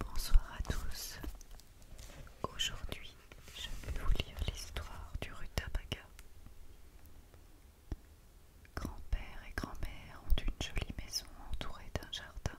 Bonsoir à tous. Aujourd'hui, je vais vous lire l'histoire du rutabaga. Grand-père et grand-mère ont une jolie maison entourée d'un jardin.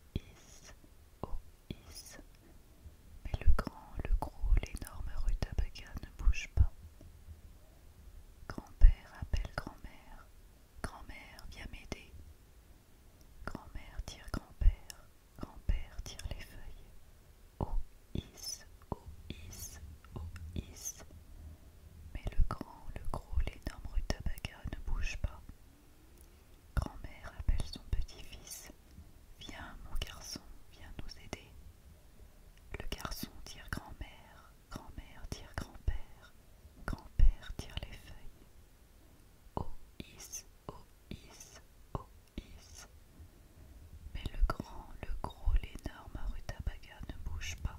Is, oh Is. Mais le grand, le gros, l'énorme rutabaga ne bouge pas. Grand-père appelle grand-mère. Grand-mère, viens m'aider. Grand-mère tire grand-père. Grand-père tire les feuilles. Oh Is, oh Is, oh Is. Mais le grand, le gros, l'énorme rutabaga ne bouge pas. Grand-mère appelle son petit-fils. Viens, mon garçon, viens nous aider. Le garçon tire grand-mère, grand-mère tire grand-père, grand-père tire les feuilles. Oh is, oh is, oh is. Mais le grand, le gros, l'énorme Arutabaga ne bouge pas.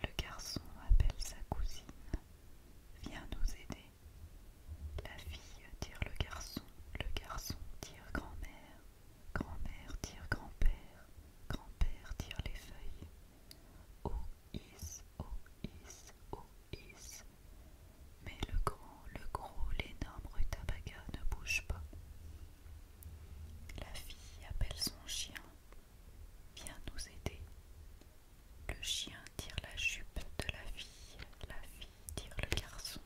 Le garçon appelle sa cousine. Viens nous aider. La fille tire le garçon, le garçon tire grand-mère, grand-mère tire grand-père, grand-père tire les feuilles. Oh is, oh is, oh is. Mais le grand, le gros, l'énorme rutabaga ne bouge pas. La fille appelle son chien. Viens nous aider. Le chien tire la jupe de la fille, la fille tire le garçon,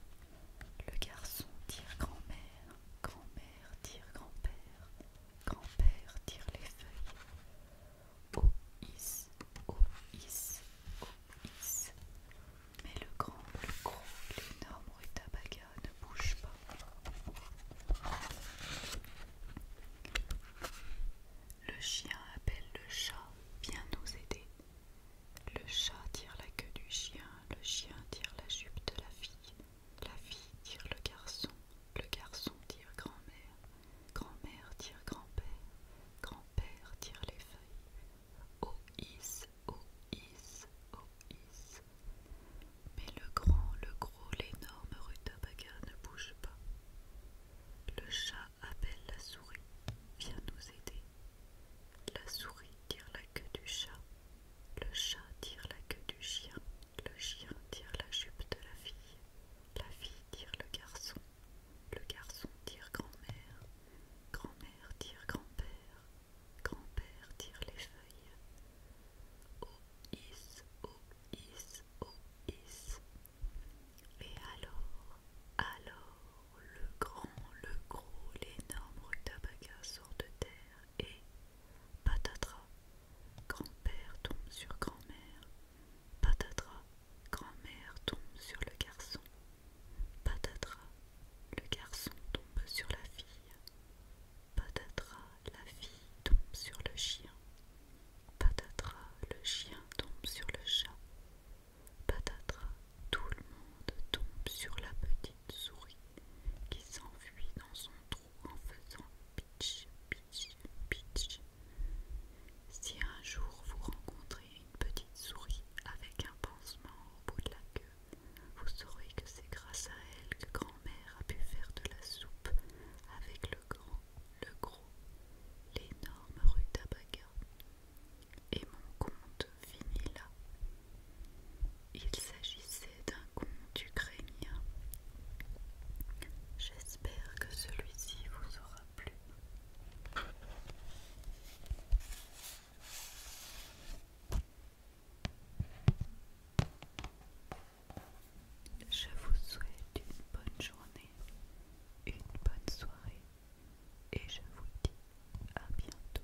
le garçon tire grand-mère, grand-mère tire grand-père, grand-père tire les feuilles. Oh is, oh is, oh is. Mais le grand, le gros, l'énorme rutabaga ne bouge pas. Le chien appelle le chat, viens nous aider. Le chat tire la queue du chien, le chien tire la jupe de la fille, la fille tire le garçon, le garçon tire grand-mère, grand-mère tire grand-père, grand-père tire les feuilles. Oh is, oh is, oh is. Mais le grand, le gros, l'énorme Rutabaga ne bouge pas. Le chat appelle la souris, viens nous aider. La souris tire la queue du chat, le chat tire la queue du chien, le chien tire la jupe de la fille, la fille tire le garçon, le garçon tire grand-mère, grand-mère tire grand-père, grand-père tire les feuilles. Oh is, is, et alors, alors, le grand, le gros, l'énorme Rutabaga sort de terre et, patatras, grand-père tombe sur grand-mère, patatras, grand-mère tombe sur le garçon, patatras, le garçon tombe sur la fille, patatras, la fille tombe sur le chien. Patatras, le chien tombe sur le chat. Patatras, tout le monde tombe sur la petite souris qui s'enfuit dans son trou en faisant pitch, pitch, pitch. Si un jour vous rencontrez une petite souris avec un pansement au bout de la queue, vous saurez que c'est grâce à elle que grand-mère a pu faire de la soupe avec le grand le gros, l'énorme rue d'Abaga Et mon conte finit là. Il s'agissait d'un conte ukrainien. J'espère que celui-ci vous aura plu. Je vous souhaite une bonne journée, une bonne soirée et je vous dis à bientôt.